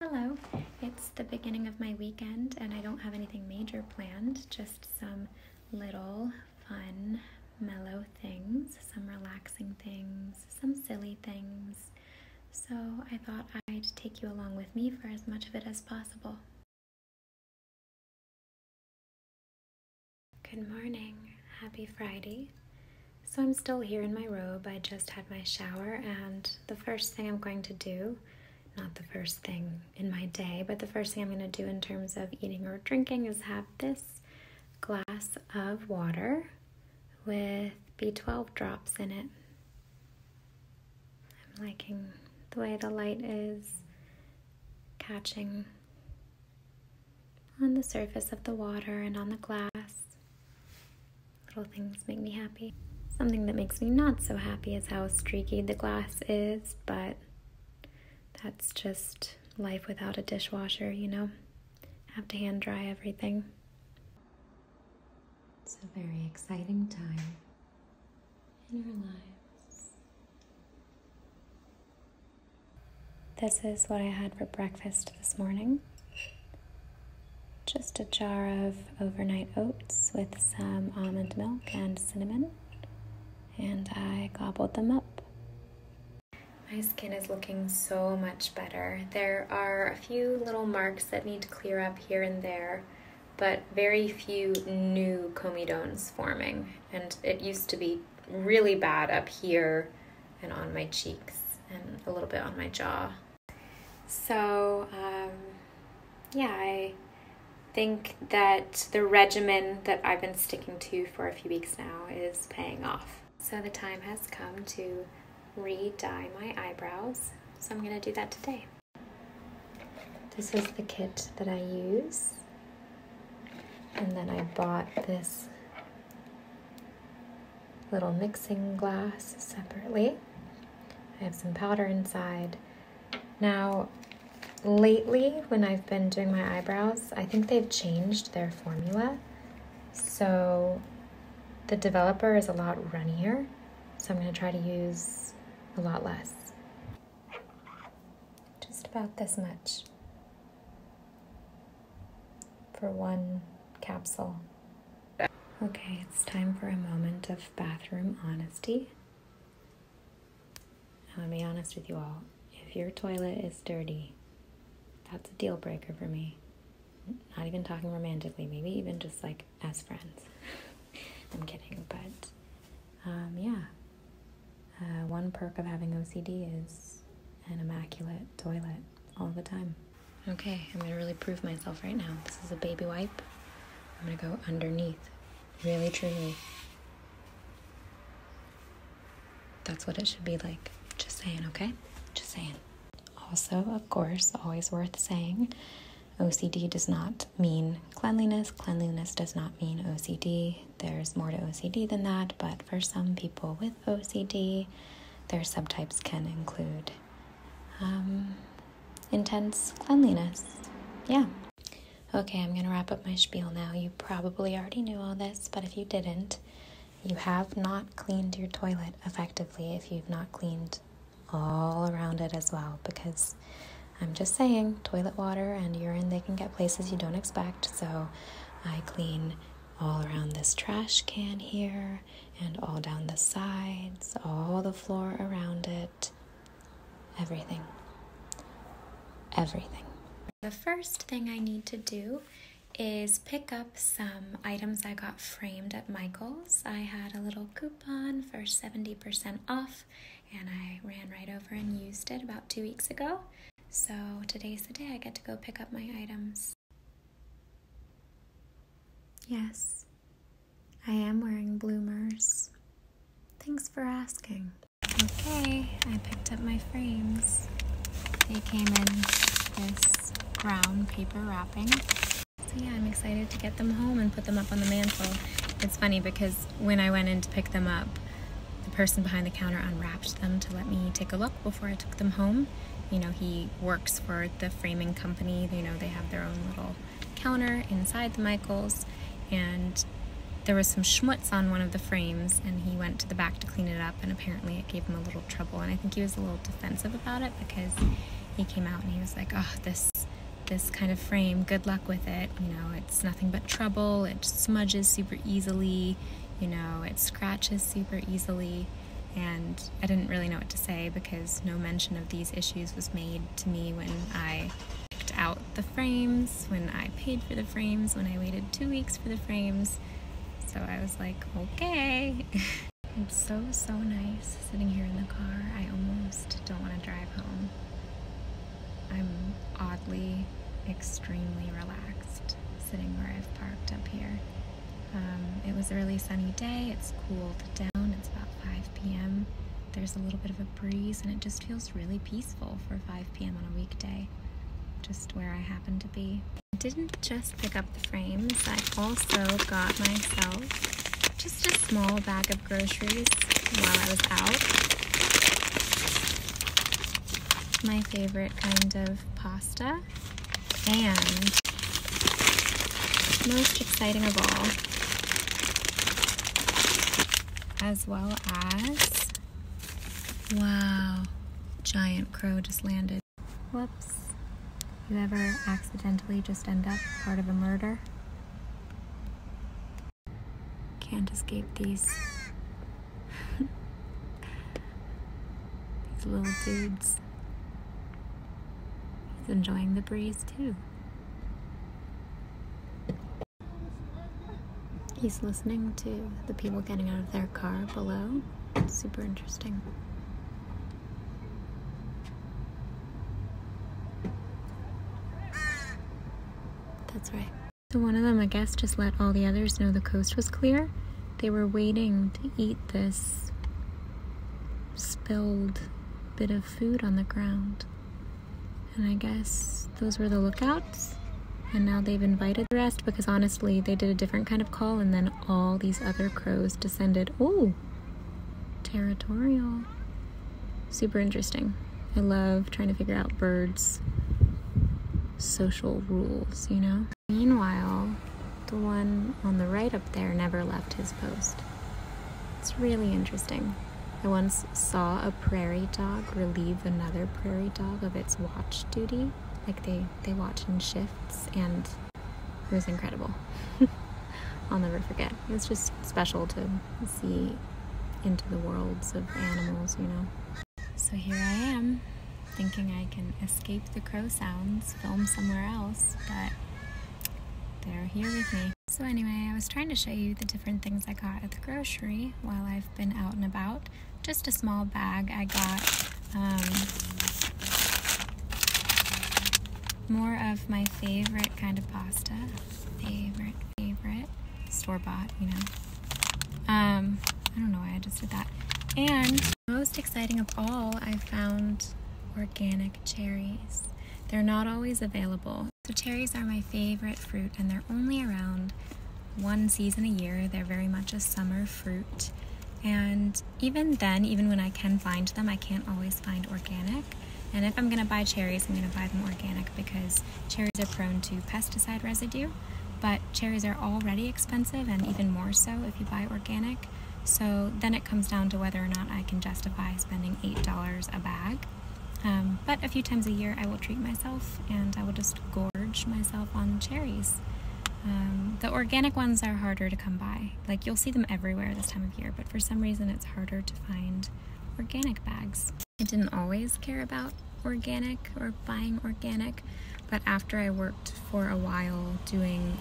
Hello, it's the beginning of my weekend and I don't have anything major planned, just some little fun, mellow things, some relaxing things, some silly things. So I thought I'd take you along with me for as much of it as possible. Good morning, happy Friday. So I'm still here in my robe. I just had my shower and the first thing I'm going to do, not the first thing in my day, but the first thing I'm going to do in terms of eating or drinking is have this glass of water with B12 drops in it. I'm liking the way the light is catching on the surface of the water and on the glass. Little things make me happy. Something that makes me not so happy is how streaky the glass is, but that's just life without a dishwasher, you know? Have to hand dry everything. It's a very exciting time in our lives. This is what I had for breakfast this morning just a jar of overnight oats with some almond milk and cinnamon, and I gobbled them up. My skin is looking so much better. There are a few little marks that need to clear up here and there, but very few new comedones forming. And it used to be really bad up here and on my cheeks and a little bit on my jaw. So, um, yeah, I think that the regimen that I've been sticking to for a few weeks now is paying off. So, the time has come to re dye my eyebrows. So, I'm going to do that today. This is the kit that I use. And then I bought this little mixing glass separately. I have some powder inside. Now, lately when I've been doing my eyebrows, I think they've changed their formula. So the developer is a lot runnier, so I'm gonna try to use a lot less. Just about this much for one capsule. Okay, it's time for a moment of bathroom honesty. i will be honest with you all. If your toilet is dirty, that's a deal breaker for me. Not even talking romantically, maybe even just like as friends. I'm kidding, but um, yeah. Uh, one perk of having OCD is an immaculate toilet all the time. Okay, I'm gonna really prove myself right now. This is a baby wipe. I'm gonna go underneath, really truly. That's what it should be like. Just saying, okay? Just saying. Also, of course, always worth saying, OCD does not mean cleanliness. Cleanliness does not mean OCD. There's more to OCD than that, but for some people with OCD, their subtypes can include um, intense cleanliness. Yeah. Okay, I'm going to wrap up my spiel now. You probably already knew all this, but if you didn't, you have not cleaned your toilet effectively if you've not cleaned all around it as well because I'm just saying toilet water and urine they can get places you don't expect so I clean all around this trash can here and all down the sides, all the floor around it, everything. Everything. The first thing I need to do is pick up some items I got framed at Michael's. I had a little coupon for 70% off and I ran right over and used it about two weeks ago. So today's the day I get to go pick up my items. Yes, I am wearing bloomers. Thanks for asking. Okay, I picked up my frames. They came in this brown paper wrapping. So yeah, I'm excited to get them home and put them up on the mantle. It's funny because when I went in to pick them up, the person behind the counter unwrapped them to let me take a look before I took them home. You know, he works for the framing company. You know, they have their own little counter inside the Michaels, and there was some schmutz on one of the frames, and he went to the back to clean it up, and apparently it gave him a little trouble. And I think he was a little defensive about it because he came out and he was like, "Oh, this." This kind of frame, good luck with it. You know, it's nothing but trouble. It smudges super easily. You know, it scratches super easily and I didn't really know what to say because no mention of these issues was made to me when I picked out the frames, when I paid for the frames, when I waited two weeks for the frames. So I was like, okay. it's so, so nice sitting here in the car. I almost don't want to drive home. I'm oddly, extremely relaxed sitting where I've parked up here. Um, it was a really sunny day. It's cooled down. It's about 5 p.m. There's a little bit of a breeze, and it just feels really peaceful for 5 p.m. on a weekday, just where I happen to be. didn't just pick up the frames. I also got myself just a small bag of groceries while I was out. My favorite kind of pasta and most exciting of all. As well as, wow, giant crow just landed. Whoops. You ever accidentally just end up part of a murder? Can't escape these. these little dudes. He's enjoying the breeze too. He's listening to the people getting out of their car below. It's super interesting. That's right. So one of them, I guess, just let all the others know the coast was clear. They were waiting to eat this spilled bit of food on the ground. And I guess those were the lookouts. And now they've invited the rest because honestly, they did a different kind of call and then all these other crows descended. Oh, territorial. Super interesting. I love trying to figure out birds' social rules, you know? Meanwhile, the one on the right up there never left his post. It's really interesting. I once saw a prairie dog relieve another prairie dog of its watch duty. Like they, they watch in shifts, and it was incredible. I'll never forget. It was just special to see into the worlds of animals, you know. So here I am, thinking I can escape the crow sounds, film somewhere else, but they're here with me. So anyway, I was trying to show you the different things I got at the grocery while I've been out and about. Just a small bag I got um, more of my favorite kind of pasta. Favorite, favorite. Store-bought, you know. Um, I don't know why I just did that. And most exciting of all, I found organic cherries. They're not always available. So cherries are my favorite fruit and they're only around one season a year. They're very much a summer fruit. And even then, even when I can find them, I can't always find organic. And if I'm gonna buy cherries, I'm gonna buy them organic because cherries are prone to pesticide residue, but cherries are already expensive and even more so if you buy organic. So then it comes down to whether or not I can justify spending $8 a bag. Um, but a few times a year I will treat myself and I will just gorge myself on cherries. Um, the organic ones are harder to come by. Like you'll see them everywhere this time of year, but for some reason it's harder to find organic bags. I didn't always care about organic or buying organic, but after I worked for a while doing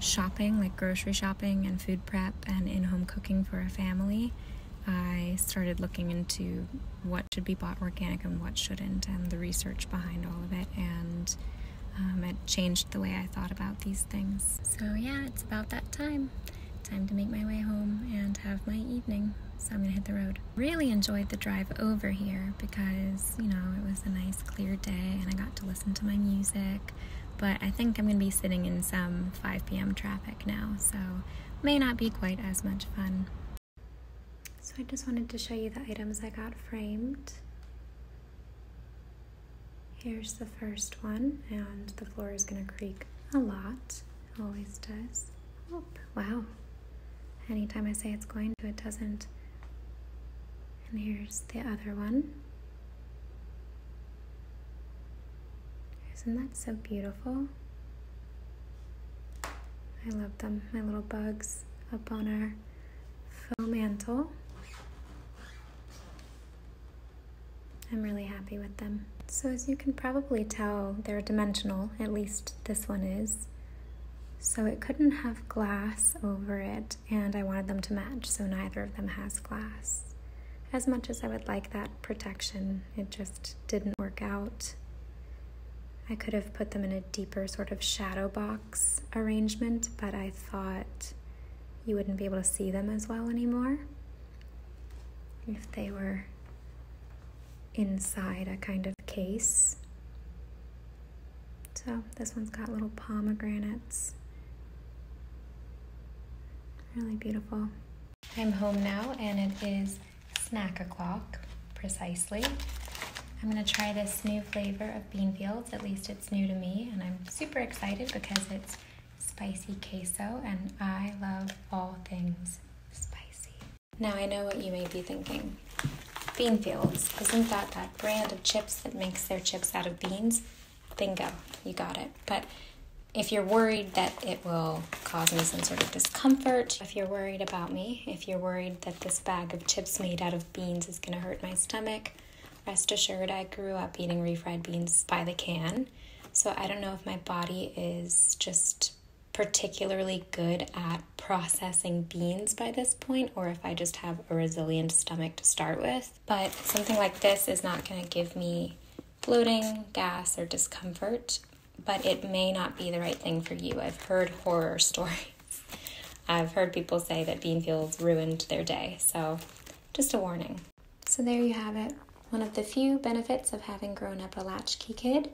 shopping, like grocery shopping and food prep and in home cooking for a family, I started looking into what should be bought organic and what shouldn't, and the research behind all of it, and um, it changed the way I thought about these things. So, yeah, it's about that time. Time to make my way home and have my evening. So, I'm gonna hit the road. Really enjoyed the drive over here because, you know, it was a nice clear day and I got to listen to my music but I think I'm going to be sitting in some 5 p.m. traffic now, so may not be quite as much fun. So I just wanted to show you the items I got framed. Here's the first one, and the floor is going to creak a lot. Always does. Oh, wow. Anytime I say it's going to, it doesn't. And here's the other one. Isn't that so beautiful? I love them, my little bugs up on our faux mantle. I'm really happy with them. So as you can probably tell, they're dimensional, at least this one is. So it couldn't have glass over it and I wanted them to match, so neither of them has glass. As much as I would like that protection, it just didn't work out. I could have put them in a deeper sort of shadow box arrangement, but I thought you wouldn't be able to see them as well anymore if they were inside a kind of case. So this one's got little pomegranates Really beautiful. I'm home now and it is snack o'clock precisely. I'm gonna try this new flavor of Beanfields, at least it's new to me, and I'm super excited because it's spicy queso and I love all things spicy. Now I know what you may be thinking. Beanfields, isn't that that brand of chips that makes their chips out of beans? Bingo, you got it. But if you're worried that it will cause me some sort of discomfort, if you're worried about me, if you're worried that this bag of chips made out of beans is going to hurt my stomach, rest assured I grew up eating refried beans by the can. So I don't know if my body is just particularly good at processing beans by this point or if I just have a resilient stomach to start with but something like this is not going to give me bloating, gas, or discomfort, but it may not be the right thing for you. I've heard horror stories. I've heard people say that bean fuels ruined their day, so just a warning. So there you have it. One of the few benefits of having grown up a latchkey kid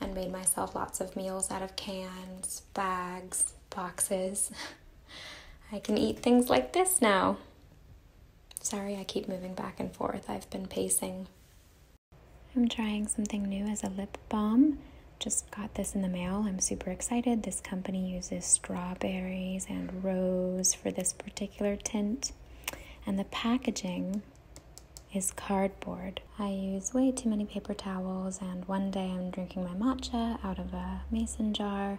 and made myself lots of meals out of cans, bags, boxes. I can eat things like this now. Sorry, I keep moving back and forth. I've been pacing. I'm trying something new as a lip balm. Just got this in the mail. I'm super excited. This company uses strawberries and rose for this particular tint. And the packaging is cardboard. I use way too many paper towels, and one day I'm drinking my matcha out of a mason jar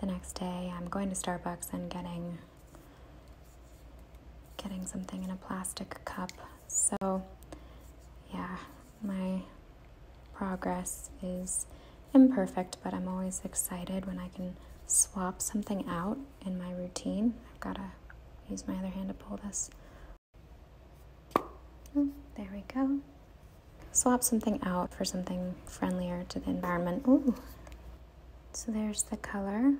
the next day I'm going to Starbucks and getting getting something in a plastic cup. So yeah, my progress is imperfect, but I'm always excited when I can swap something out in my routine. I've got to use my other hand to pull this. Oh, there we go swap something out for something friendlier to the environment. Ooh, so there's the color.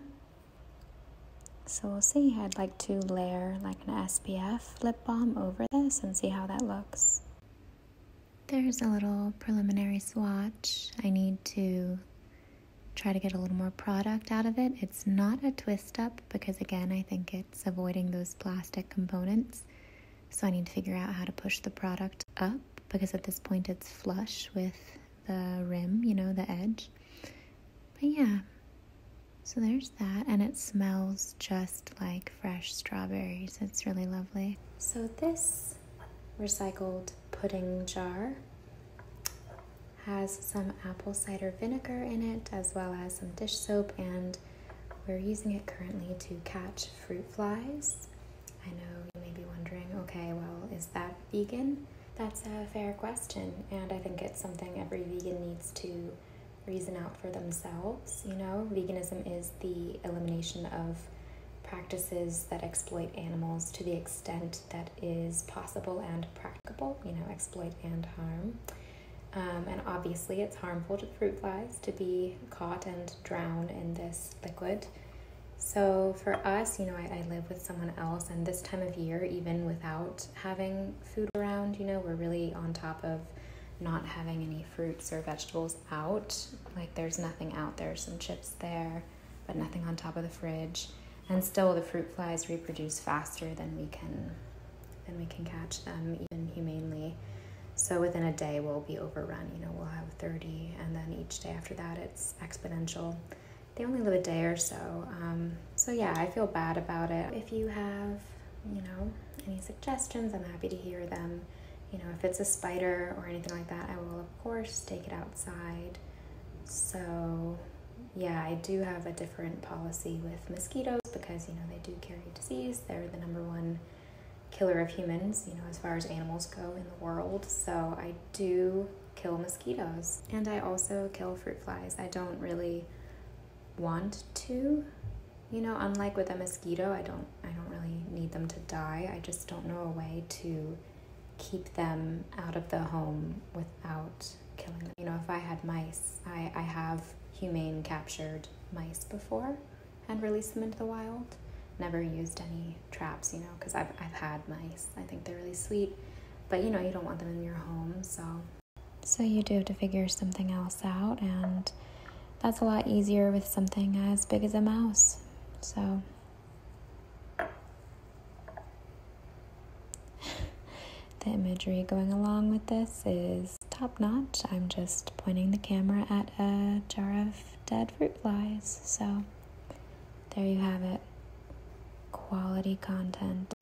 So we'll see, I'd like to layer like an SPF lip balm over this and see how that looks. There's a little preliminary swatch. I need to try to get a little more product out of it. It's not a twist up because again, I think it's avoiding those plastic components. So I need to figure out how to push the product up because at this point it's flush with the rim, you know, the edge. But yeah, so there's that, and it smells just like fresh strawberries. It's really lovely. So this recycled pudding jar has some apple cider vinegar in it as well as some dish soap and we're using it currently to catch fruit flies I know you may be wondering okay, well, is that vegan? That's a fair question, and I think it's something every vegan needs to reason out for themselves. You know, veganism is the elimination of practices that exploit animals to the extent that is possible and practicable, you know, exploit and harm. Um, and obviously, it's harmful to fruit flies to be caught and drowned in this liquid. So for us, you know, I, live with someone else, and this time of year, even without having food around, you know, we're really on top of not having any fruits or vegetables out. Like there's nothing out There's some chips there, but nothing on top of the fridge. And still the fruit flies reproduce faster than we can than we can catch them even humanely. So within a day, we'll be overrun. You know, we'll have 30, and then each day after that, it's exponential. They only live a day or so. Um, so yeah, I feel bad about it. If you have, you know, any suggestions, I'm happy to hear them. You know, if it's a spider or anything like that, I will, of course, take it outside. So yeah, I do have a different policy with mosquitoes because, you know, they do carry disease. They're the number one killer of humans, you know, as far as animals go in the world. So I do kill mosquitoes and I also kill fruit flies. I don't really want to. You know, unlike with a mosquito, I don't I don't really need them to die. I just don't know a way to keep them out of the home without killing them. You know, if I had mice, I, I have humane captured mice before and release them into the wild. Never used any traps, you know, because I've, I've had mice. I think they're really sweet, but you know, you don't want them in your home, so. So you do have to figure something else out, and that's a lot easier with something as big as a mouse, so. the imagery going along with this is top notch. I'm just pointing the camera at a jar of dead fruit flies. So there you have it. Quality content.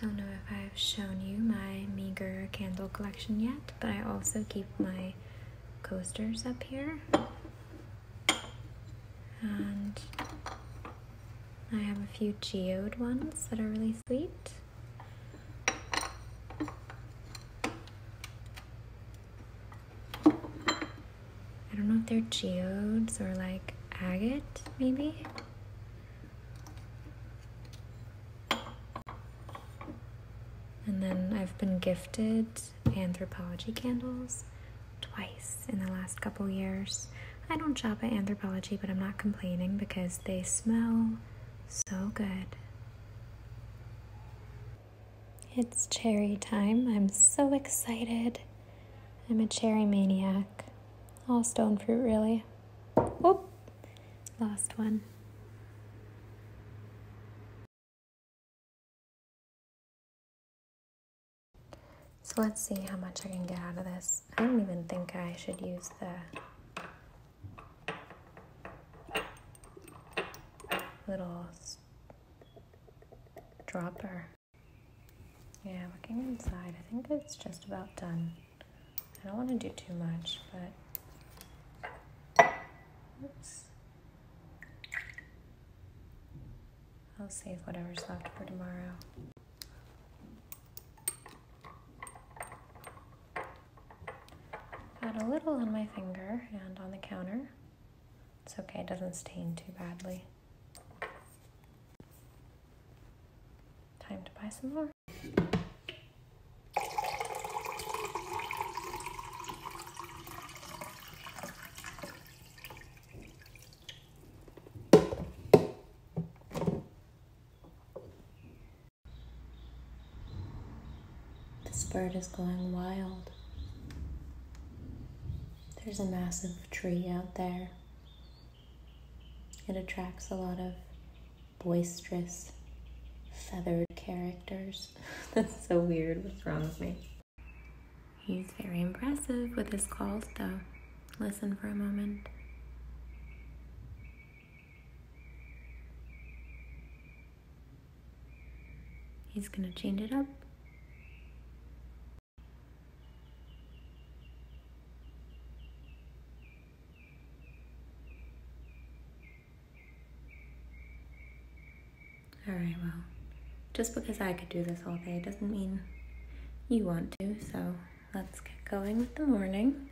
Don't know if I've shown you my meager candle collection yet, but I also keep my coasters up here. And I have a few geode ones that are really sweet. I don't know if they're geodes or like agate, maybe? And then I've been gifted anthropology candles twice in the last couple years. I don't shop at anthropology, but I'm not complaining because they smell so good. It's cherry time. I'm so excited. I'm a cherry maniac. All stone fruit, really. Oh, lost one. So let's see how much I can get out of this. I don't even think I should use the little dropper. Yeah, looking inside, I think it's just about done. I don't want to do too much, but I'll save whatever's left for tomorrow. Got a little on my finger and on the counter. It's okay, it doesn't stain too badly. Time to buy some more. This bird is going wild. There's a massive tree out there. It attracts a lot of boisterous, feathered characters. That's so weird. What's wrong with me? He's very impressive with his calls, though. Listen for a moment. He's going to change it up. Alright, well, just because I could do this all day doesn't mean you want to, so let's get going with the morning.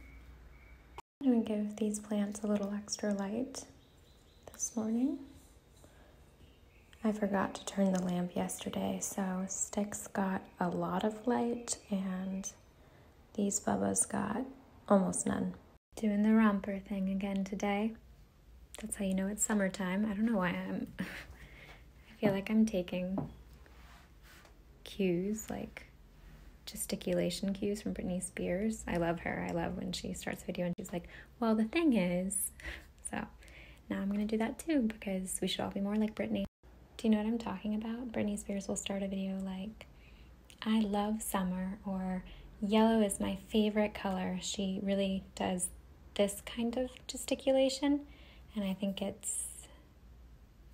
I'm going to give these plants a little extra light this morning. I forgot to turn the lamp yesterday, so Sticks got a lot of light and these bubbas got almost none. Doing the romper thing again today. That's how you know it's summertime. I don't know why I'm I feel like I'm taking cues like gesticulation cues from Britney Spears. I love her. I love when she starts video and she's like, well, the thing is, so now I'm going to do that too because we should all be more like Britney. Do you know what I'm talking about? Britney Spears will start a video like, I love summer or yellow is my favorite color. She really does this kind of gesticulation and I think it's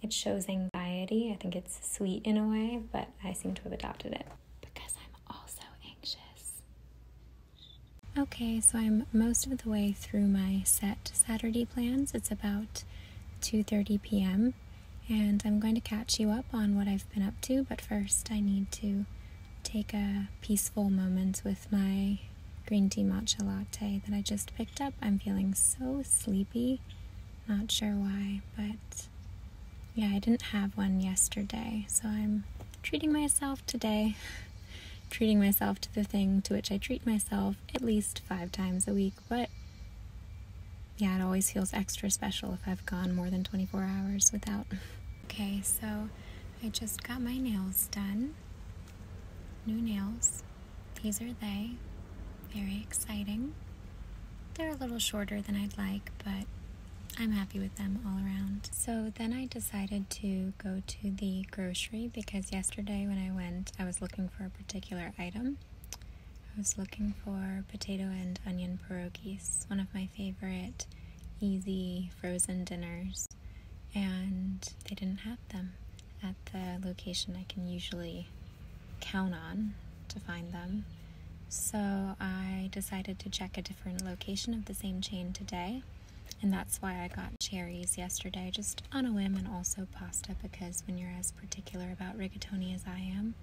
it shows anxiety. I think it's sweet in a way, but I seem to have adopted it because I'm also anxious. Okay, so I'm most of the way through my set Saturday plans. It's about 2:30 p.m. and I'm going to catch you up on what I've been up to, but first I need to take a peaceful moment with my green tea matcha latte that I just picked up. I'm feeling so sleepy. Not sure why, but yeah, I didn't have one yesterday, so I'm treating myself today. treating myself to the thing to which I treat myself at least five times a week, but yeah, it always feels extra special if I've gone more than 24 hours without. Okay, so I just got my nails done. New nails. These are they. Very exciting. They're a little shorter than I'd like, but I'm happy with them all around. So then I decided to go to the grocery because yesterday when I went, I was looking for a particular item. I was looking for potato and onion pierogies, one of my favorite easy frozen dinners, and they didn't have them at the location I can usually count on to find them. So I decided to check a different location of the same chain today. And that's why I got cherries yesterday, just on a whim, and also pasta, because when you're as particular about rigatoni as I am,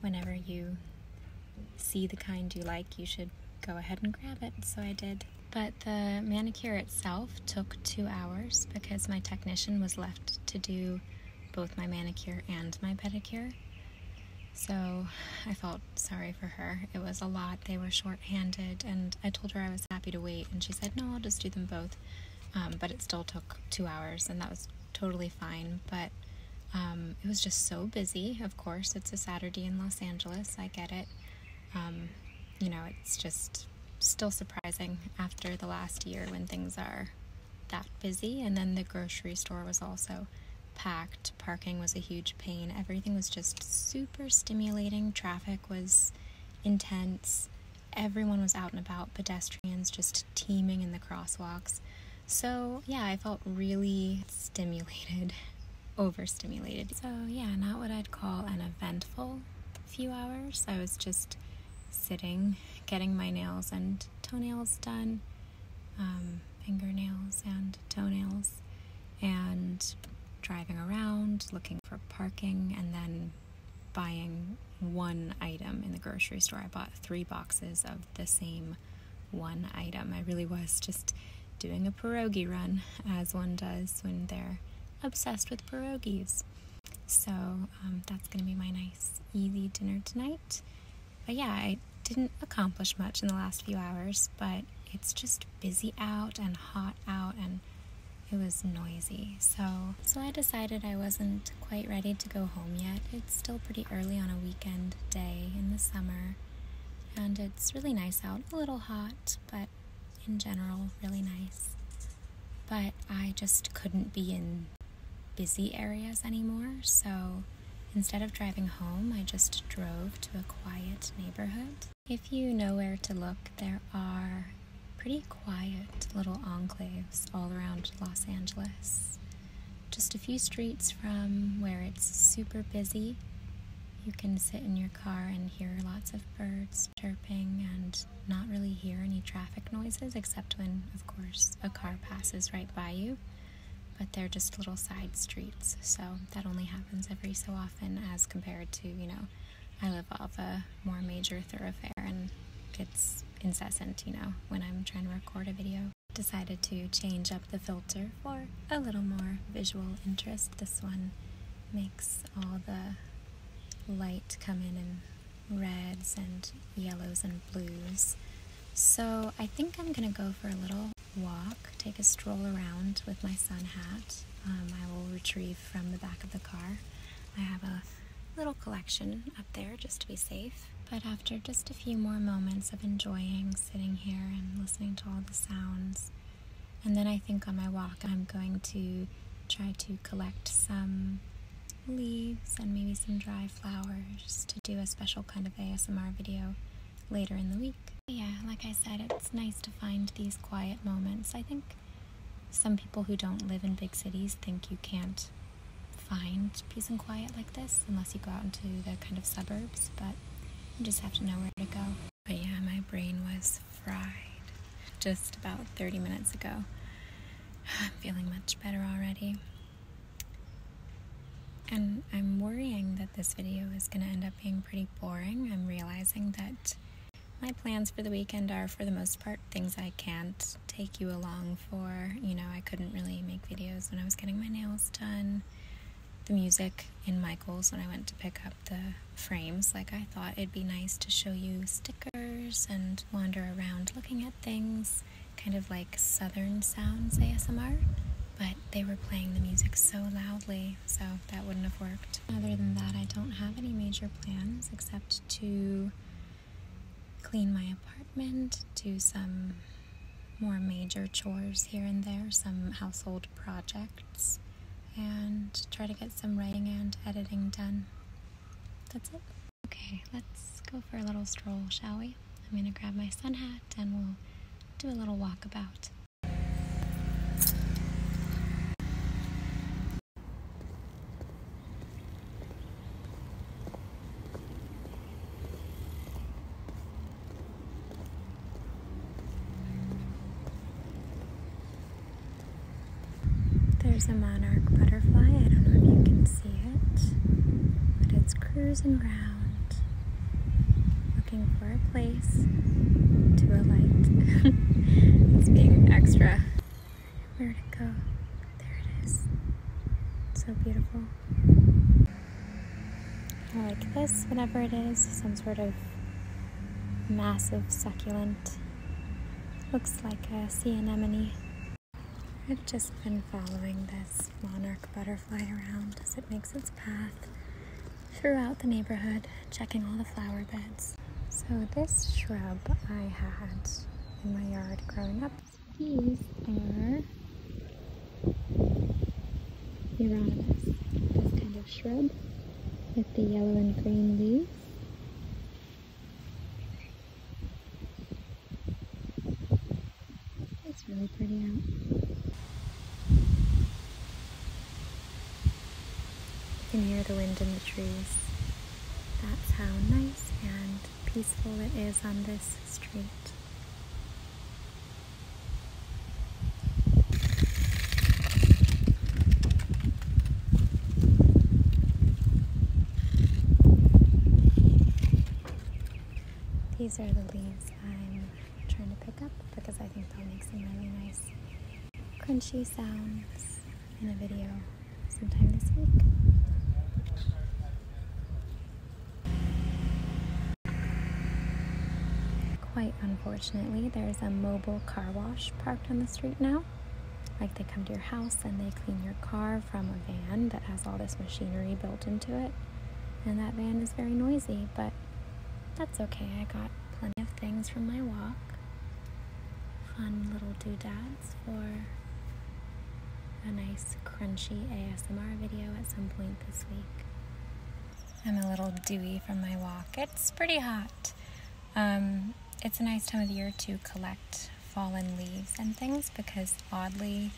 whenever you see the kind you like, you should go ahead and grab it. So I did. But the manicure itself took two hours because my technician was left to do both my manicure and my pedicure. So I felt sorry for her. It was a lot. They were short-handed, and I told her I was happy to wait, and she said, "No, I'll just do them both." Um, but it still took two hours, and that was totally fine. But um, it was just so busy. Of course, it's a Saturday in Los Angeles. I get it. Um, you know, it's just still surprising after the last year when things are that busy. And then the grocery store was also packed parking was a huge pain, everything was just super stimulating, traffic was intense, everyone was out and about, pedestrians just teeming in the crosswalks. So, yeah, I felt really stimulated, overstimulated. So, yeah, not what I'd call an eventful few hours. I was just sitting, getting my nails and toenails done, um, fingernails and toenails, and driving around, looking for parking, and then buying one item in the grocery store. I bought three boxes of the same one item. I really was just doing a pierogi run, as one does when they're obsessed with pierogies. So um, that's going to be my nice, easy dinner tonight. But yeah, I didn't accomplish much in the last few hours, but it's just busy out and hot out and it was noisy. So, so I decided I wasn't quite ready to go home yet. It's still pretty early on a weekend day in the summer. And it's really nice out, a little hot, but in general, really nice. But I just couldn't be in busy areas anymore, so Instead of driving home, I just drove to a quiet neighborhood. If you know where to look, there are pretty quiet little enclaves all around Los Angeles. Just a few streets from where it's super busy. You can sit in your car and hear lots of birds chirping and not really hear any traffic noises, except when, of course, a car passes right by you but they're just little side streets, so that only happens every so often as compared to, you know, I live off a more major thoroughfare and it's incessant, you know, when I'm trying to record a video. Decided to change up the filter for a little more visual interest. This one makes all the light come in in reds and yellows and blues. So I think I'm gonna go for a little walk, take a stroll around with my sun hat. Um, I will retrieve from the back of the car. I have a little collection up there just to be safe. But after just a few more moments of enjoying sitting here and listening to all the sounds, and then I think on my walk I'm going to try to collect some leaves and maybe some dry flowers to do a special kind of ASMR video later in the week. Yeah, like I said, it's nice to find these quiet moments. I think some people who don't live in big cities think you can't find peace and quiet like this unless you go out into the kind of suburbs, but you just have to know where to go. But yeah, my brain was fried just about 30 minutes ago. I'm feeling much better already. And I'm worrying that this video is going to end up being pretty boring. I'm realizing that my plans for the weekend are, for the most part, things I can't take you along for. You know, I couldn't really make videos when I was getting my nails done. The music in Michael's when I went to pick up the frames, like I thought it'd be nice to show you stickers and wander around looking at things kind of like Southern Sounds ASMR, but they were playing the music so loudly, so that wouldn't have worked. Other than that, I don't have any major plans except to clean my apartment, do some more major chores here and there, some household projects, and try to get some writing and editing done. That's it. Okay, let's go for a little stroll, shall we? I'm going to grab my sun hat and we'll do a little walkabout. There's a monarch butterfly. I don't know if you can see it, but it's cruising around looking for a place to alight. it's being extra. where to go? There it is. So beautiful. like this, whatever it is, some sort of massive succulent. Looks like a sea anemone. I've just been following this monarch butterfly around as it makes its path throughout the neighborhood, checking all the flower beds. So this shrub I had in my yard growing up. These are Euronymous, this kind of shrub with the yellow and green leaves. It's really pretty out. You can hear the wind in the trees. That's how nice and peaceful it is on this street. These are the leaves I'm trying to pick up because I think they'll make some really nice crunchy sounds in a video sometime this week. Quite unfortunately, there's a mobile car wash parked on the street now. Like they come to your house and they clean your car from a van that has all this machinery built into it and that van is very noisy, but that's okay. I got plenty of things from my walk. Fun little doodads for a nice crunchy ASMR video at some point this week. I'm a little dewy from my walk. It's pretty hot. Um, it's a nice time of year to collect fallen leaves and things because oddly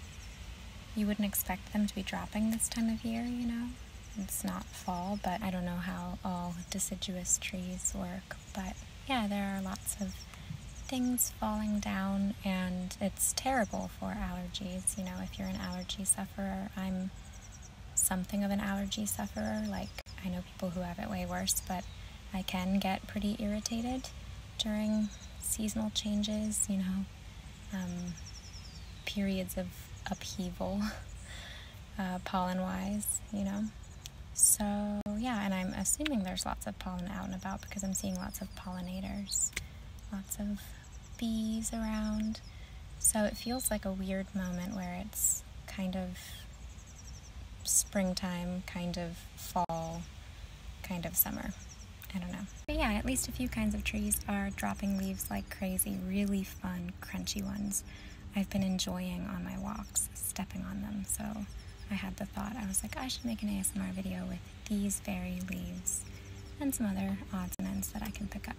you wouldn't expect them to be dropping this time of year, you know? It's not fall, but I don't know how all deciduous trees work. But yeah, there are lots of things falling down, and it's terrible for allergies. You know, if you're an allergy sufferer, I'm something of an allergy sufferer. Like, I know people who have it way worse, but I can get pretty irritated during seasonal changes, you know, um, periods of upheaval, uh, pollen wise, you know. So, yeah, and I'm assuming there's lots of pollen out and about because I'm seeing lots of pollinators, lots of bees around. So, it feels like a weird moment where it's kind of springtime, kind of fall, kind of summer. I don't know. But yeah, at least a few kinds of trees are dropping leaves like crazy, really fun, crunchy ones. I've been enjoying on my walks, stepping on them. So I had the thought, I was like, I should make an ASMR video with these very leaves and some other odds and ends that I can pick up,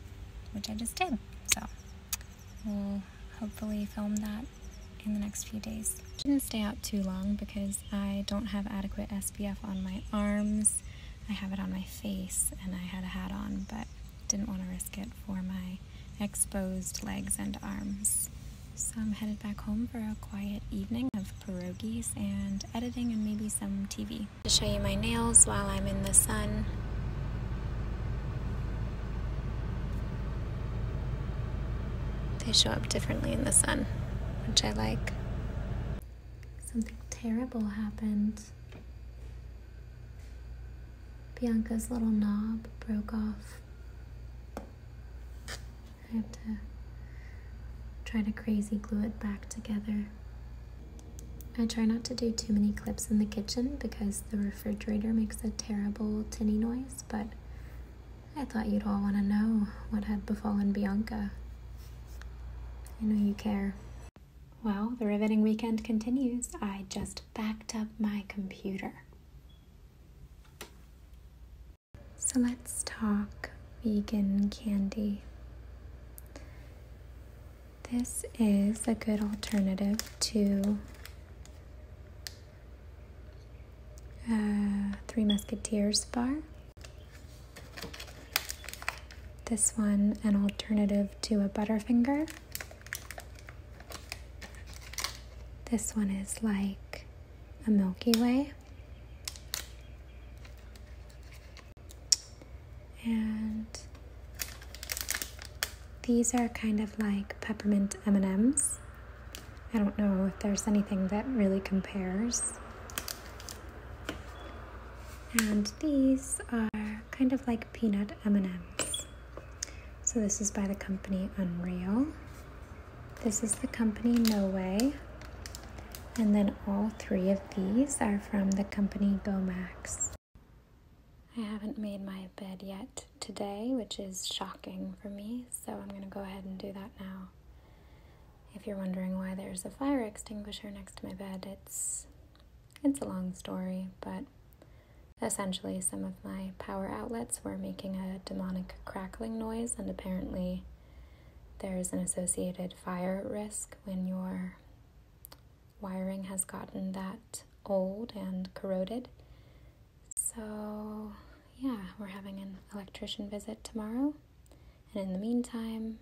which I just did. So we'll hopefully film that in the next few days. Shouldn't stay out too long because I don't have adequate SPF on my arms. I have it on my face and I had a hat on, but didn't want to risk it for my exposed legs and arms. So I'm headed back home for a quiet evening of pierogies and editing and maybe some TV. To show you my nails while I'm in the sun. They show up differently in the sun, which I like. Something terrible happened. Bianca's little knob broke off. I have to try to crazy glue it back together. I try not to do too many clips in the kitchen because the refrigerator makes a terrible tinny noise, but I thought you'd all want to know what had befallen Bianca. I know you care. Well, the riveting weekend continues. I just backed up my computer. So let's talk vegan candy. This is a good alternative to uh, Three Musketeers bar. This one, an alternative to a Butterfinger. This one is like a Milky Way. And these are kind of like peppermint M&Ms. I don't know if there's anything that really compares. And these are kind of like peanut M&Ms. So this is by the company Unreal. This is the company No Way. And then all three of these are from the company GoMax. I haven't made my bed yet today, which is shocking for me, so I'm going to go ahead and do that now. If you're wondering why there's a fire extinguisher next to my bed, it's it's a long story, but essentially some of my power outlets were making a demonic crackling noise and apparently there's an associated fire risk when your wiring has gotten that old and corroded. So, yeah, we're having an electrician visit tomorrow. And in the meantime,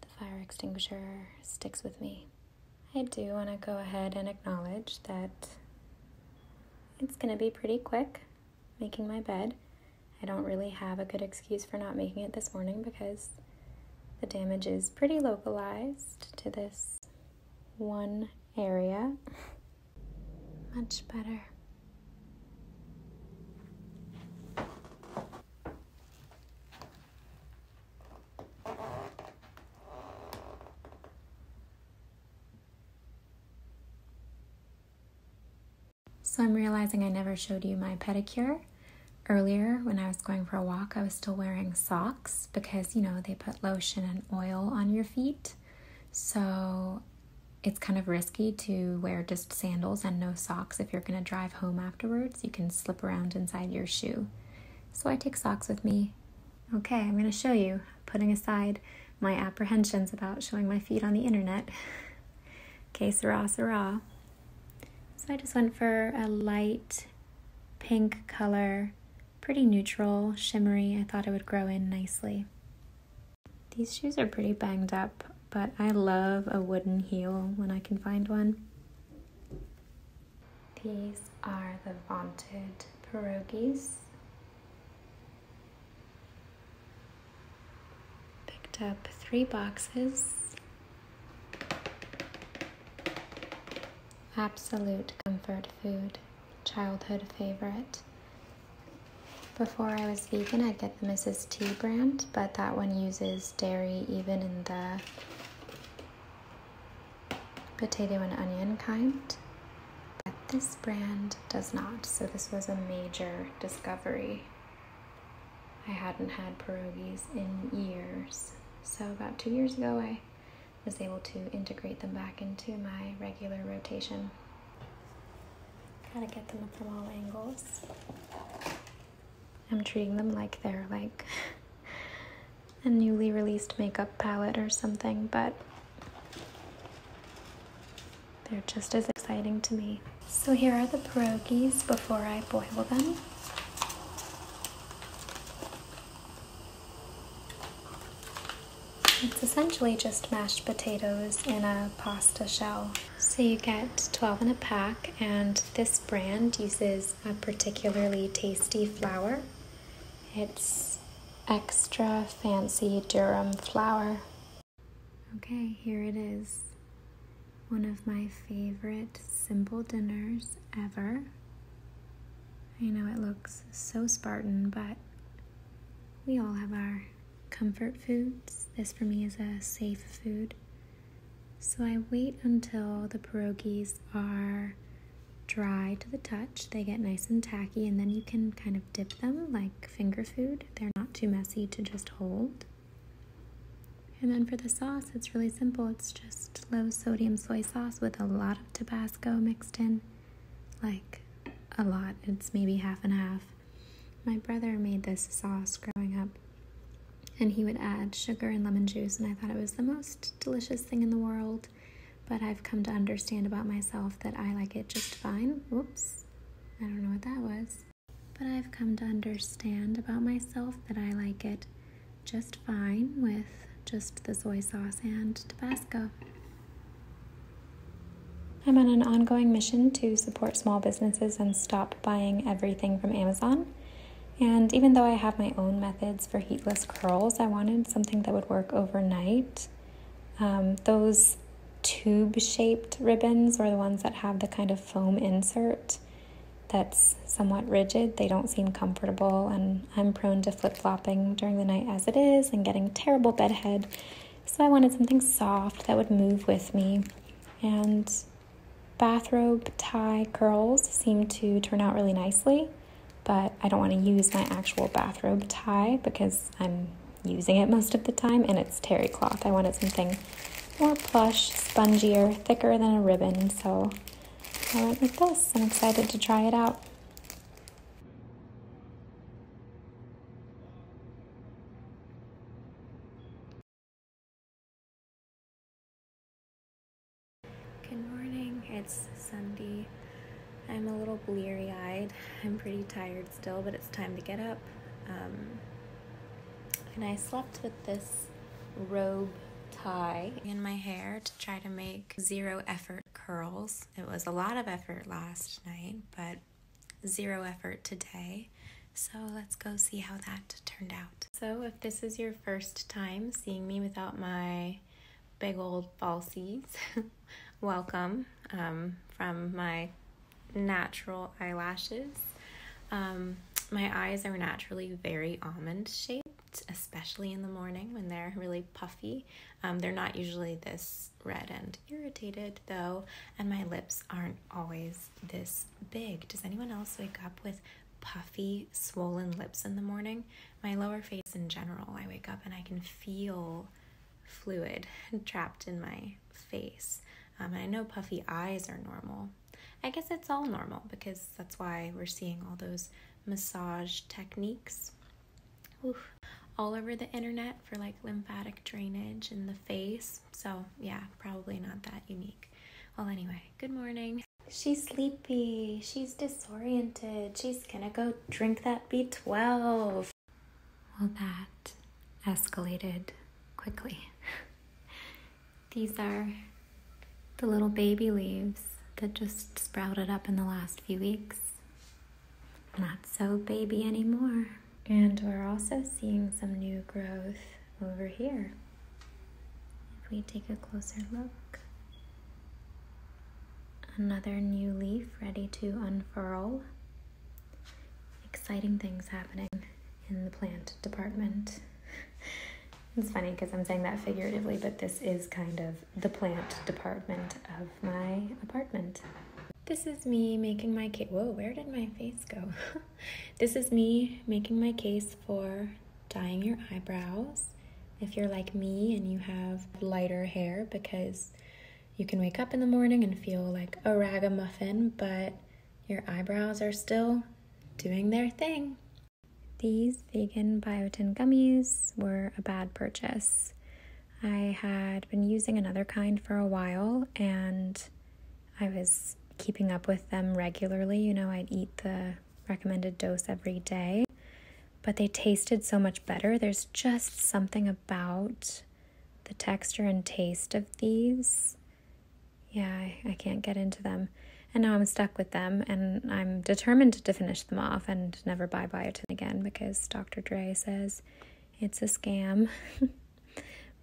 the fire extinguisher sticks with me. I do want to go ahead and acknowledge that it's going to be pretty quick making my bed. I don't really have a good excuse for not making it this morning because the damage is pretty localized to this one area. Much better. So I'm realizing I never showed you my pedicure. Earlier, when I was going for a walk, I was still wearing socks because, you know, they put lotion and oil on your feet. So it's kind of risky to wear sandals and no socks if you're going to drive home afterwards. You can slip around inside your shoe. So I take socks with me. Okay, I'm going to show you, putting aside my apprehensions about showing my feet on the internet. okay, Sarah, Sarah. So I just went for a light pink color, pretty neutral, shimmery. I thought it would grow in nicely. These shoes are pretty banged up but I love a wooden heel when I can find one. These are the vaunted pierogies. Picked up three boxes. Absolute comfort food, childhood favorite. Before I was vegan, I would get. Mrs. T brand, but that one uses dairy even in the potato and onion kind. But this brand does not, so this was a major discovery. I hadn't had pierogies in years. So about two years ago, I was able to integrate them back into my regular rotation. Kind of get them from all angles. I'm treating them like they're like a newly released makeup palette or something, but they're just as exciting to me. So here are the pierogies before I boil them. It's essentially just mashed potatoes in a pasta shell. So you get 12 in a pack and this brand uses a particularly tasty flour. It's extra fancy Durham flour. Okay, here it is. One of my favorite simple dinners ever. I know it looks so Spartan, but we all have our comfort foods. This for me is a safe food. So I wait until the pierogies are dry to the touch. They get nice and tacky, and then you can kind of dip them like finger food. They're not too messy to just hold. And then for the sauce, it's really simple. It's just low sodium soy sauce with a lot of Tabasco mixed in. Like a lot. It's maybe half and half. My brother made this sauce growing up and he would add sugar and lemon juice, and I thought it was the most delicious thing in the world. But I've come to understand about myself that I like it just fine. Oops, I don't know what that was. But I've come to understand about myself that I like it just fine with just the soy sauce and Tabasco. I'm on an ongoing mission to support small businesses and stop buying everything from Amazon. And even though I have my own methods for heatless curls, I wanted something that would work overnight. Um, those tube shaped ribbons or the ones that have the kind of foam insert that's somewhat rigid. They don't seem comfortable, and I'm prone to flip flopping during the night as it is and getting terrible bedhead. So I wanted something soft that would move with me. And bathrobe tie curls seem to turn out really nicely, but I don't want to use my actual bathrobe tie because I'm using it most of the time and it's terry cloth. I wanted something more plush, spongier, thicker than a ribbon, so I went with this. I'm excited to try it out. Good morning, it's Sunday. I'm a little bleary eyed. I'm pretty tired still, but it's time to get up. Um, and I slept with this robe tie in my hair to try to make zero effort curls. It was a lot of effort last night, but zero effort today. So let's go see how that turned out. So if this is your first time seeing me without my big old falsies, welcome um, from my natural eyelashes. Um, my eyes are naturally very almond shaped, especially in the morning when they're really puffy. Um, they're not usually this red and irritated though, and my lips aren't always this big. Does anyone else wake up with puffy, swollen lips in the morning? My lower face in general, I wake up and I can feel fluid trapped in my face. Um, I know puffy eyes are normal. I guess it's all normal because that's why we're seeing all those massage techniques all over the internet for like lymphatic drainage in the face so, yeah, probably not that unique. Well, anyway, good morning. She's sleepy. She's disoriented. She's gonna go drink that B12. Well, that escalated quickly. These are the little baby leaves that just sprouted up in the last few weeks. Not so baby anymore. And we're also seeing some new growth over here. If we take a closer look, another new leaf ready to unfurl. Exciting things happening in the plant department. It's funny because I'm saying that figuratively, but this is kind of the plant department of my apartment. This is me making my cake. Whoa, where did my face go? This is me making my case for dyeing your eyebrows. If you're like me and you have lighter hair because you can wake up in the morning and feel like a ragamuffin, but your eyebrows are still doing their thing. These vegan biotin gummies were a bad purchase. I had been using another kind for a while and I was keeping up with them regularly. You know, I'd eat the recommended dose every day, but they tasted so much better. There's just something about the texture and taste of these. Yeah, I, can't get into them. And now I'm stuck with them, and I'm determined to finish them off and never buy biotin again because Dr. Dre says it's a scam.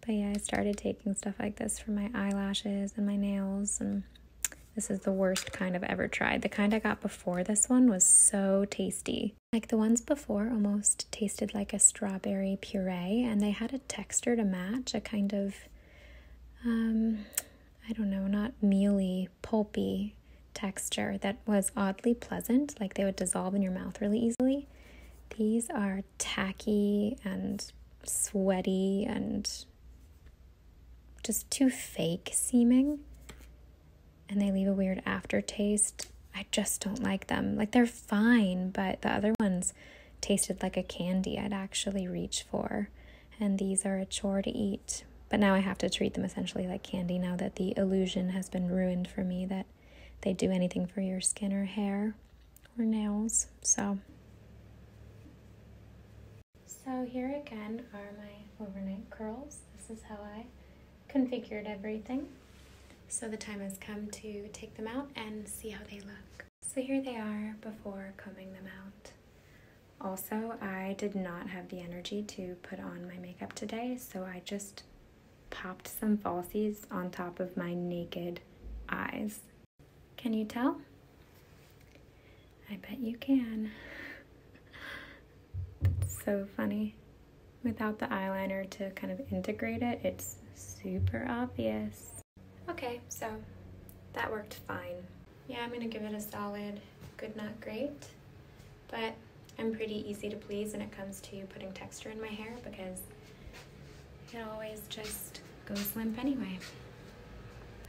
But yeah, I started taking stuff like this for my eyelashes and my nails and this is the worst kind I've ever tried. The kind I got before this one was so tasty. Like the ones before almost tasted like a strawberry puree and they had a texture to match, a kind of, um, I don't know, not mealy, pulpy texture that was oddly pleasant. Like they would dissolve in your mouth really easily. These are tacky and sweaty and just too fake seeming. And they leave a weird aftertaste. I just don't like them. Like they're fine, but the other ones tasted like a candy I'd actually reach for. And these are a chore to eat. But now I have to treat them essentially like candy now that the illusion has been ruined for me that they do anything for your skin or hair or nails. So, so here again are my overnight curls. This is how I configured everything. So the time has come to take them out and see how they look. So here they are before combing them out. Also, I did not have the energy to put on my makeup today, so I just popped some falsies on top of my naked eyes. Can you tell? I bet you can. It's so funny. Without the eyeliner to kind of integrate it, it's super obvious. Okay, so that worked fine. Yeah, I'm gonna give it a solid good, not great, but I'm pretty easy to please when it comes to putting texture in my hair because it always just goes limp anyway.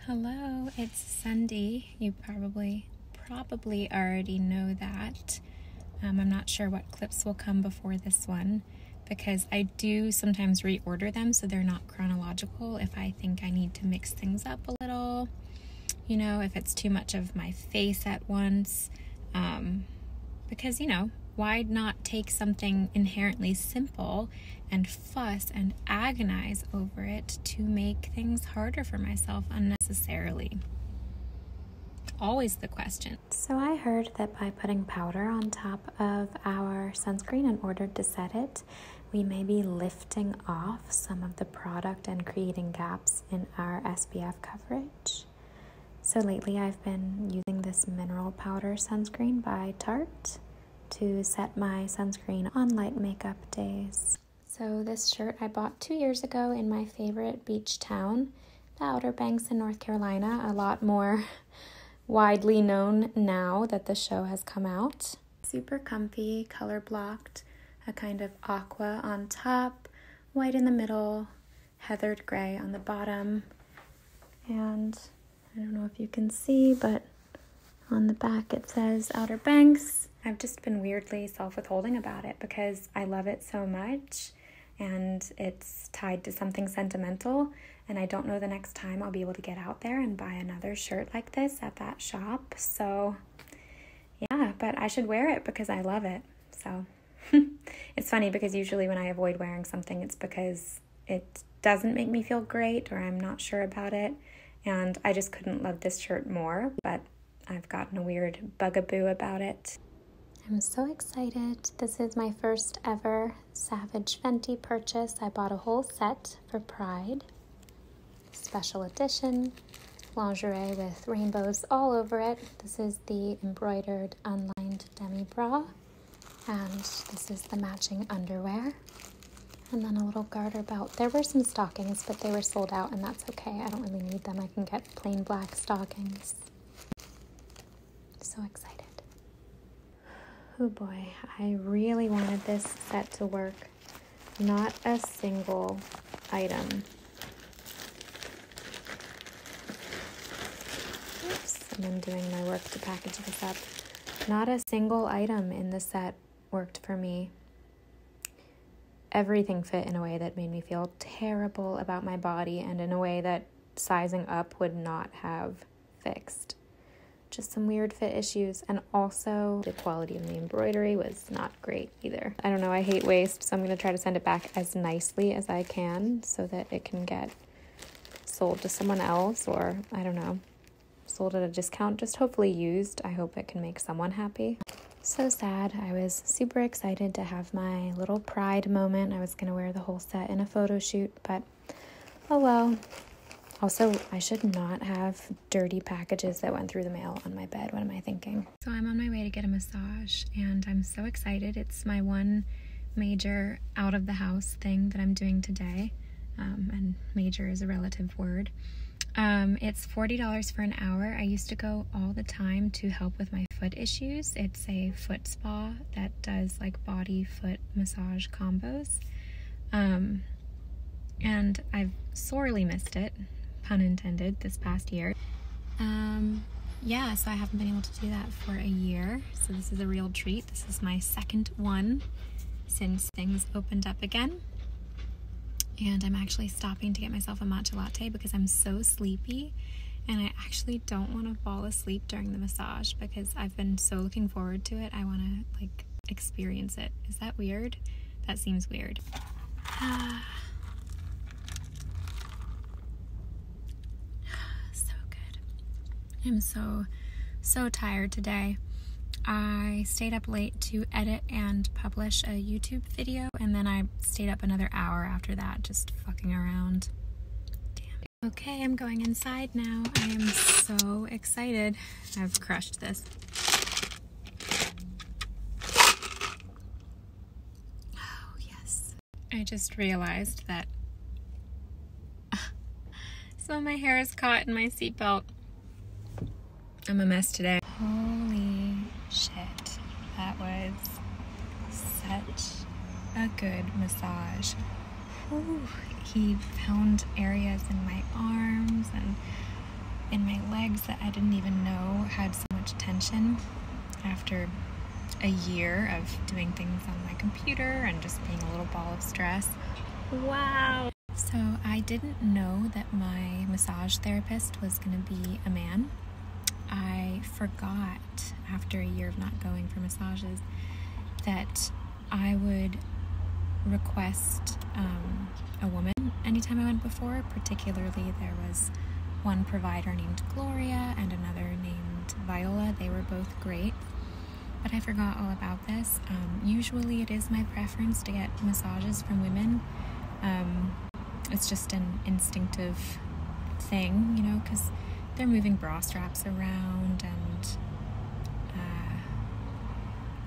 Hello, it's Sunday. You probably, probably already know that. Um, I'm not sure what clips will come before this one because I do sometimes reorder them so they're not chronological if I think I need to mix things up a little. You know, if it's too much of my face at once. Um, because, you know, why not take something inherently simple and fuss and agonize over it to make things harder for myself unnecessarily. Always the question. So, I heard that by putting powder on top of our sunscreen in order to set it, we may be lifting off some of the product and creating gaps in our SPF coverage. So, lately I've been using this mineral powder sunscreen by Tarte to set my sunscreen on light makeup days. So this shirt I bought two years ago in my favorite beach town, the Outer Banks in North Carolina, a lot more widely known now that the show has come out. Super comfy, color blocked, a kind of aqua on top, white in the middle, heathered gray on the bottom, and I don't know if you can see, but on the back it says Outer Banks. I've just been weirdly self withholding about it because I love it so much and it's tied to something sentimental. And I don't know the next time I'll be able to get out there and buy another shirt like this at that shop. So, yeah, but I should wear it because I love it. So, it's funny because usually when I avoid wearing something, it's because it doesn't make me feel great or I'm not sure about it. And I just couldn't love this shirt more, but I've gotten a weird bugaboo about it. I'm so excited. This is my first ever Savage Fenty purchase. I bought a whole set for Pride. Special edition lingerie with rainbows all over it. This is the embroidered unlined demi bra. And this is the matching underwear. And then a little garter belt. There were some stockings, but they were sold out, and that's okay. I don't really need them. I can get plain black stockings. So excited. Oh boy, I really wanted this set to work. Not a single item. Oops. I'm doing my work to package this up. Not a single item in the set worked for me. Everything fit in a way that made me feel terrible about my body and in a way that sizing up would not have fixed. Just some weird fit issues, and also the quality of the embroidery was not great either. I don't know, I hate waste, so I'm gonna try to send it back as nicely as I can so that it can get sold to someone else or I don't know, sold at a discount, just hopefully used. I hope it can make someone happy. So sad. I was super excited to have my little pride moment. I was going to wear the whole set in a photo shoot, but oh well. Also, I should not have dirty packages that went through the mail on my bed. What am I thinking? So I'm on my way to get a massage and I'm so excited. It's my one major out of the house thing that I'm doing today. Um, and major is a relative word. Um, it's $40 for an hour. I used to go all the time to help with my foot issues. It's a foot spa that does like body foot massage combos. Um, and I've sorely missed it, pun intended, this past year. yeah, so I haven't been able to do that for a year. So this is a real treat. This is my second one since things opened up again. And I'm actually stopping to get myself a matcha latte because I'm so sleepy. And I actually don't want to fall asleep during the massage because I've been so looking forward to it. I want to like experience it. Is that weird? That seems weird. Ah. so good. I'm so, so tired today. I stayed up late to edit and publish a YouTube video, and then I stayed up another hour after that just fucking around. Damn. Okay, I'm going inside now. I am so excited. I've crushed this. Oh, yes. I just realized that so my hair is caught in my seatbelt. I'm a mess today. Holy shit. That was such a good massage. he found areas in my arms and in my legs that I didn't even know had so much tension after a year of doing things on my computer and just being a little ball of stress. Wow. So I didn't know that my massage therapist was going to be a man. I forgot after a year of not going for massages that I would request um, a woman anytime I went before. Particularly, there was one provider named Gloria and another named Viola. They were both great but I forgot all about this. Um, usually, it is my preference to get massages from women. Um, it's just an instinctive thing, you know, because they're moving bra straps around and uh,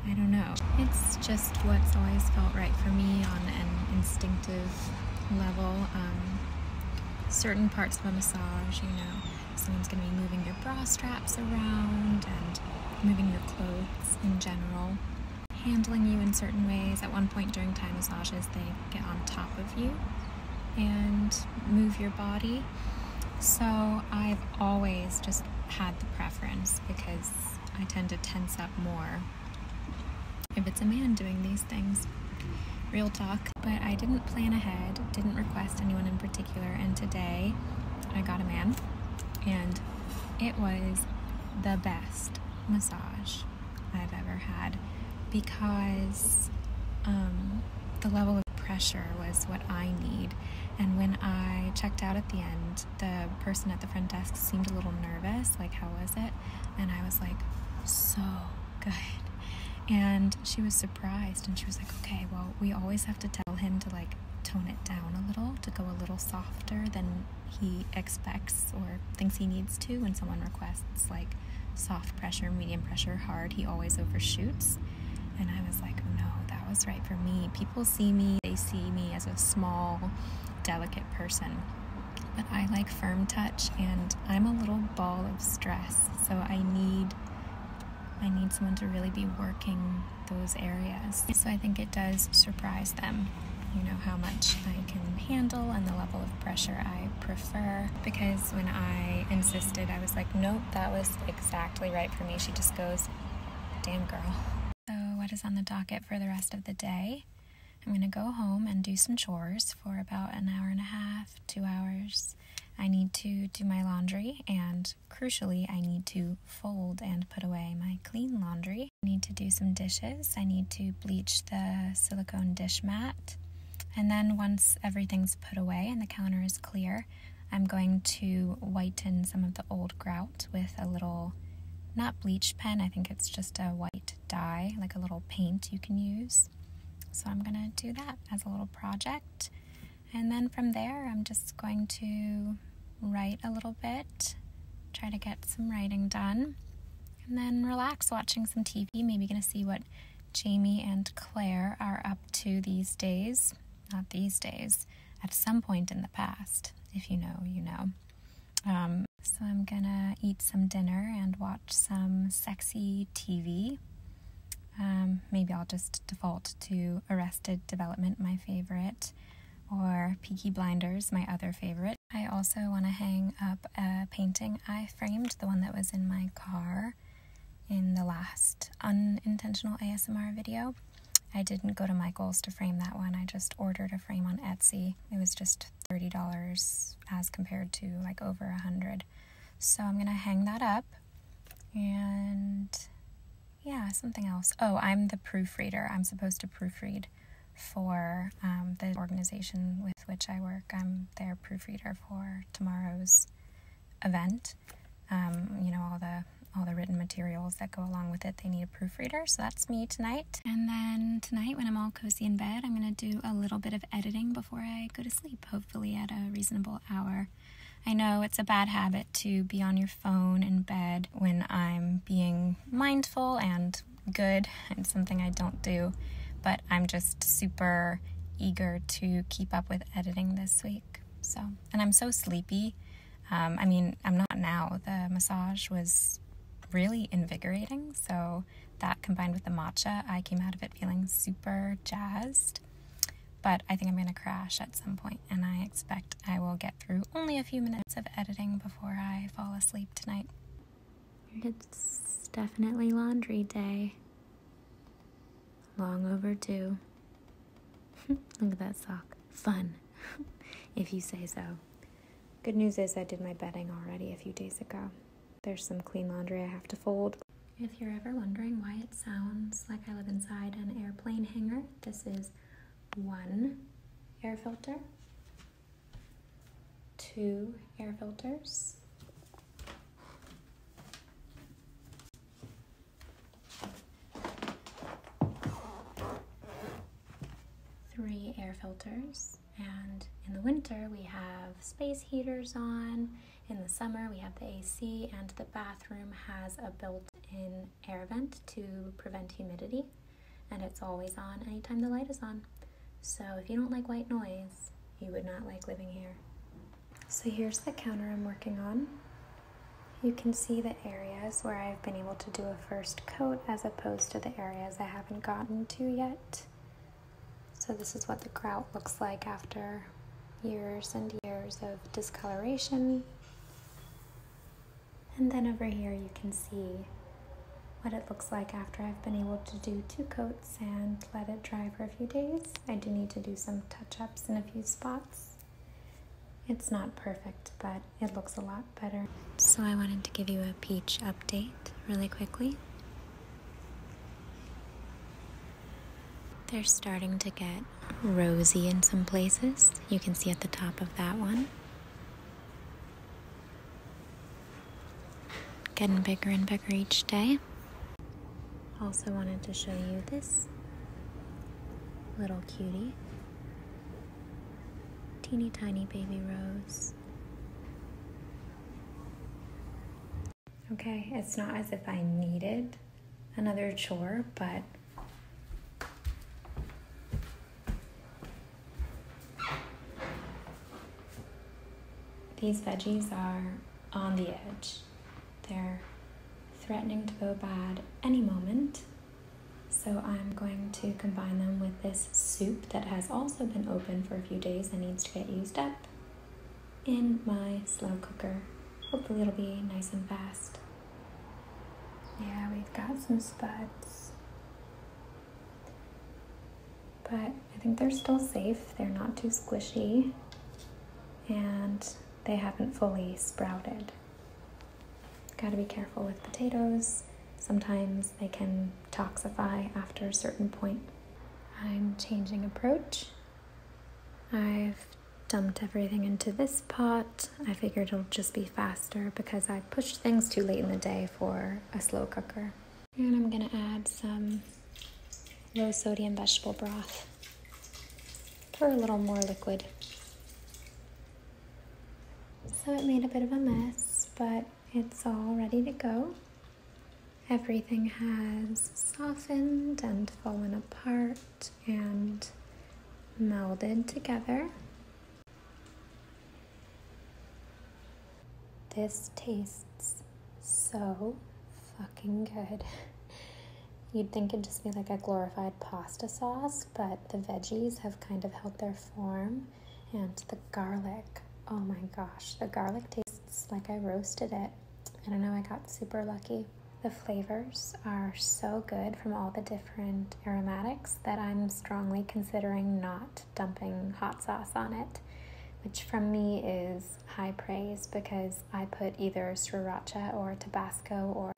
I don't know. It's just what's always felt right for me on an instinctive level. Um, certain parts of a massage, you know. Someone's going to be moving your bra straps around and moving your clothes in general, handling you in certain ways. At one point during Thai massages, they get on top of you and move your body. So I've always just had the preference because I tend to tense up more if it's a man doing these things. Real talk. But I didn't plan ahead, didn't request anyone in particular, and today I got a man, and it was the best massage I've ever had because um, the level of pressure was what I need. And when I checked out at the end, the person at the front desk seemed a little nervous, like, how was it? And I was like, so good. And she was surprised and she was like okay well we always have to tell him to like tone it down a little to go a little softer than he expects or thinks he needs to when someone requests like soft pressure medium pressure hard he always overshoots and i was like no that was right for me people see me they see me as a small delicate person but i like firm touch and i'm a little ball of stress so i need I need someone to really be working those areas. So I think it does surprise them, you know, how much I can handle and the level of pressure I prefer. Because when I insisted, I was like, nope, that was exactly right for me. She just goes, damn girl. So, what is on the docket for the rest of the day? I'm going to go home and do some chores for about an hour and a half, two hours. I need to do my laundry and crucially, I need to fold and put away my clean laundry. I need to do some dishes. I need to bleach the silicone dish mat. And then once everything's put away and the counter is clear, I'm going to whiten some of the old grout with a little, not bleach pen, I think it's just a white dye, like a little paint you can use. So I'm gonna do that as a little project. And then from there, I'm just going to write a little bit, try to get some writing done, and then relax watching some TV. Maybe going to see what Jamie and Claire are up to these days. Not these days, at some point in the past. If you know, you know. Um, so I'm gonna eat some dinner and watch some sexy TV. Um, maybe I'll just default to Arrested Development, my favorite, or Peaky Blinders, my other favorite. I also want to hang up a painting I framed, the one that was in my car in the last unintentional ASMR video. I didn't go to Michael's to frame that one. I just ordered a frame on Etsy. It was just $30 as compared to like over a 100 so I'm going to hang that up. And yeah, something else. Oh, I'm the proofreader. I'm supposed to proofread for um, the organization with which I work. I'm their proofreader for tomorrow's event. Um, you know, all the all the written materials that go along with it. They need a proofreader, so that's me tonight. And then tonight, when I'm all cozy in bed, I'm gonna do a little bit of editing before I go to sleep, hopefully at a reasonable hour. I know it's a bad habit to be on your phone in bed when I'm being mindful and good and something I don't do, but I'm just super eager to keep up with editing this week. So, and I'm so sleepy. Um, I mean, I'm not now. The massage was really invigorating. So, that combined with the matcha, I came out of it feeling super jazzed. But I think I'm going to crash at some point, and I expect I will get through only a few minutes of editing before I fall asleep tonight. It's definitely laundry day. Long overdue. Look at that sock. Fun, if you say so. Good news is I did my bedding already a few days ago. There's some clean laundry I have to fold, if you're ever wondering why it sounds like I live inside an airplane hangar, this is one air filter, two air filters, three air filters, and in the winter we have space heaters on, in the summer, we have the AC, and the bathroom has a built in air vent to prevent humidity, and it's always on anytime the light is on. So, if you don't like white noise, you would not like living here. So, here's the counter I'm working on. You can see the areas where I've been able to do a first coat as opposed to the areas I haven't gotten to yet. So this is what the grout looks like after years and years of discoloration. And then over here you can see what it looks like after I've been able to do two coats and let it dry for a few days. I do need to do some touch-ups in a few spots. It's not perfect, but it looks a lot better. So I wanted to give you a peach update really quickly. They're starting to get rosy in some places. You can see at the top of that one. Getting bigger and bigger each day. Also wanted to show you this little cutie. Teeny tiny baby rose. Okay, it's not as if I needed another chore, but these veggies are on the edge. They're threatening to go bad any moment. So I'm going to combine them with this soup that has also been open for a few days and needs to get used up in my slow cooker. Hopefully it'll be nice and fast. Yeah, we've got some spuds. But I think they're still safe. They're not too squishy. And they haven't fully sprouted. Gotta be careful with potatoes. Sometimes they can toxify after a certain point. I'm changing approach. I've dumped everything into this pot. I figured it'll just be faster because I pushed things too late in the day for a slow cooker. And I'm gonna add some low sodium vegetable broth. Pour a little more liquid. So it made a bit of a mess, but it's all ready to go. Everything has softened and fallen apart and melded together. This tastes so fucking good. You'd think it'd just be like a glorified pasta sauce, but the veggies have kind of held their form and the garlic. Oh my gosh, the garlic tastes like I roasted it. I don't know, I got super lucky. The flavors are so good from all the different aromatics that I'm strongly considering not dumping hot sauce on it, which from me is high praise because I put either sriracha or Tabasco or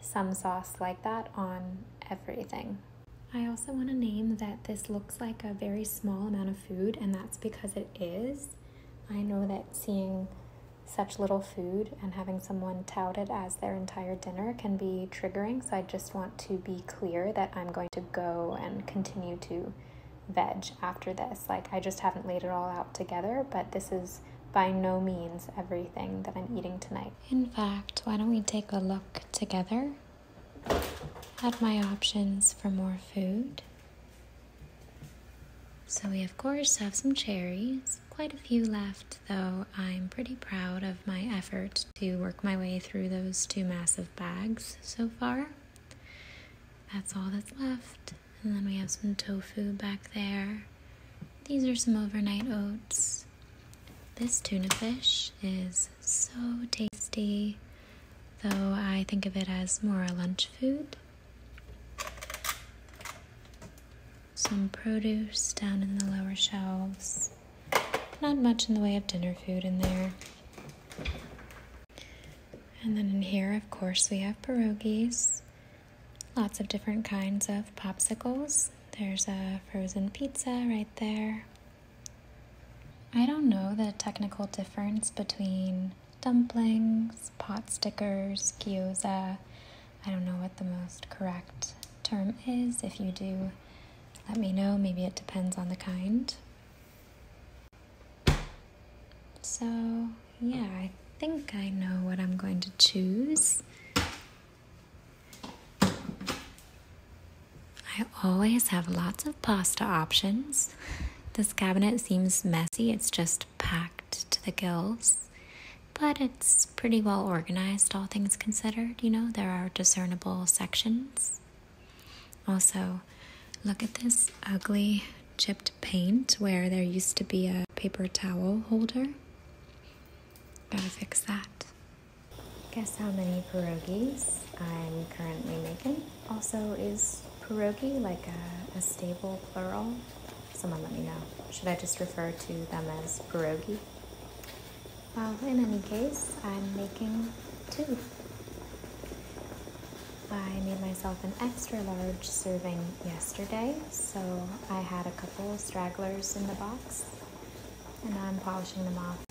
some sauce like that on everything. I also want to name that this looks like a very small amount of food, and that's because it is. I know that seeing such little food and having someone tout it as their entire dinner can be triggering. So I just want to be clear that I'm going to go and continue to veg after this. Like I just haven't laid it all out together, but this is by no means everything that I'm eating tonight. In fact, why don't we take a look together at my options for more food? So we, of course, have some cherries. Quite a few left, though I'm pretty proud of my effort to work my way through those two massive bags so far. That's all that's left. And then we have some tofu back there. These are some overnight oats. This tuna fish is so tasty, though I think of it as more a lunch food. Some produce down in the lower shelves. Not much in the way of dinner food in there. And then in here, of course, we have pierogies. Lots of different kinds of popsicles. There's a frozen pizza right there. I don't know the technical difference between dumplings, pot stickers, gyoza. I don't know what the most correct term is. If you do, let me know. Maybe it depends on the kind. So, yeah, I think I know what I'm going to choose. I always have lots of pasta options. This cabinet seems messy, it's just packed to the gills. But it's pretty well organized, all things considered. You know, there are discernible sections. Also, look at this ugly chipped paint where there used to be a paper towel holder. Gotta fix that. Guess how many pierogies I'm currently making? Also, is pierogi like a stable plural? someone let me know. Should I just refer to them as pierogi? Well, in any case, I'm making two. I made myself an extra large serving yesterday, so I had a couple stragglers in the box, and I'm polishing them off.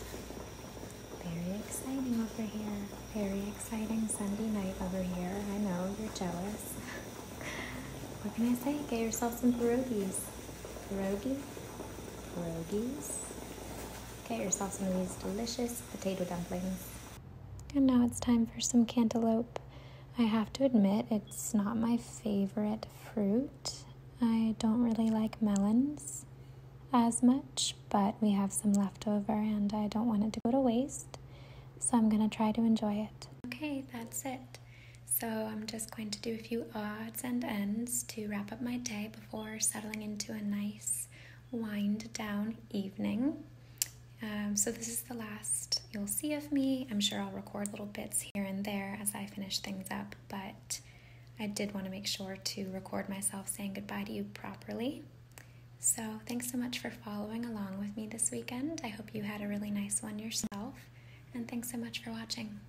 Very exciting over here. Very exciting Sunday night over here. I know, you're jealous. what can I say? Get yourself some pierogies. Pierogi? Pierogies? Get yourself some of these delicious potato dumplings. And now it's time for some cantaloupe. I have to admit, it's not my favorite fruit. I don't really like melons as much, but we have some left over and I don't want it to go to waste so I'm going to try to enjoy it. Okay, that's it. So I'm just going to do a few odds and ends to wrap up my day before settling into a nice wind down evening. Um, so this is the last you'll see of me. I'm sure I'll record little bits here and there as I finish things up, but I did want to make sure to record myself saying goodbye to you properly. So, thanks so much for following along with me this weekend. I hope you had a really nice one yourself, and thanks so much for watching.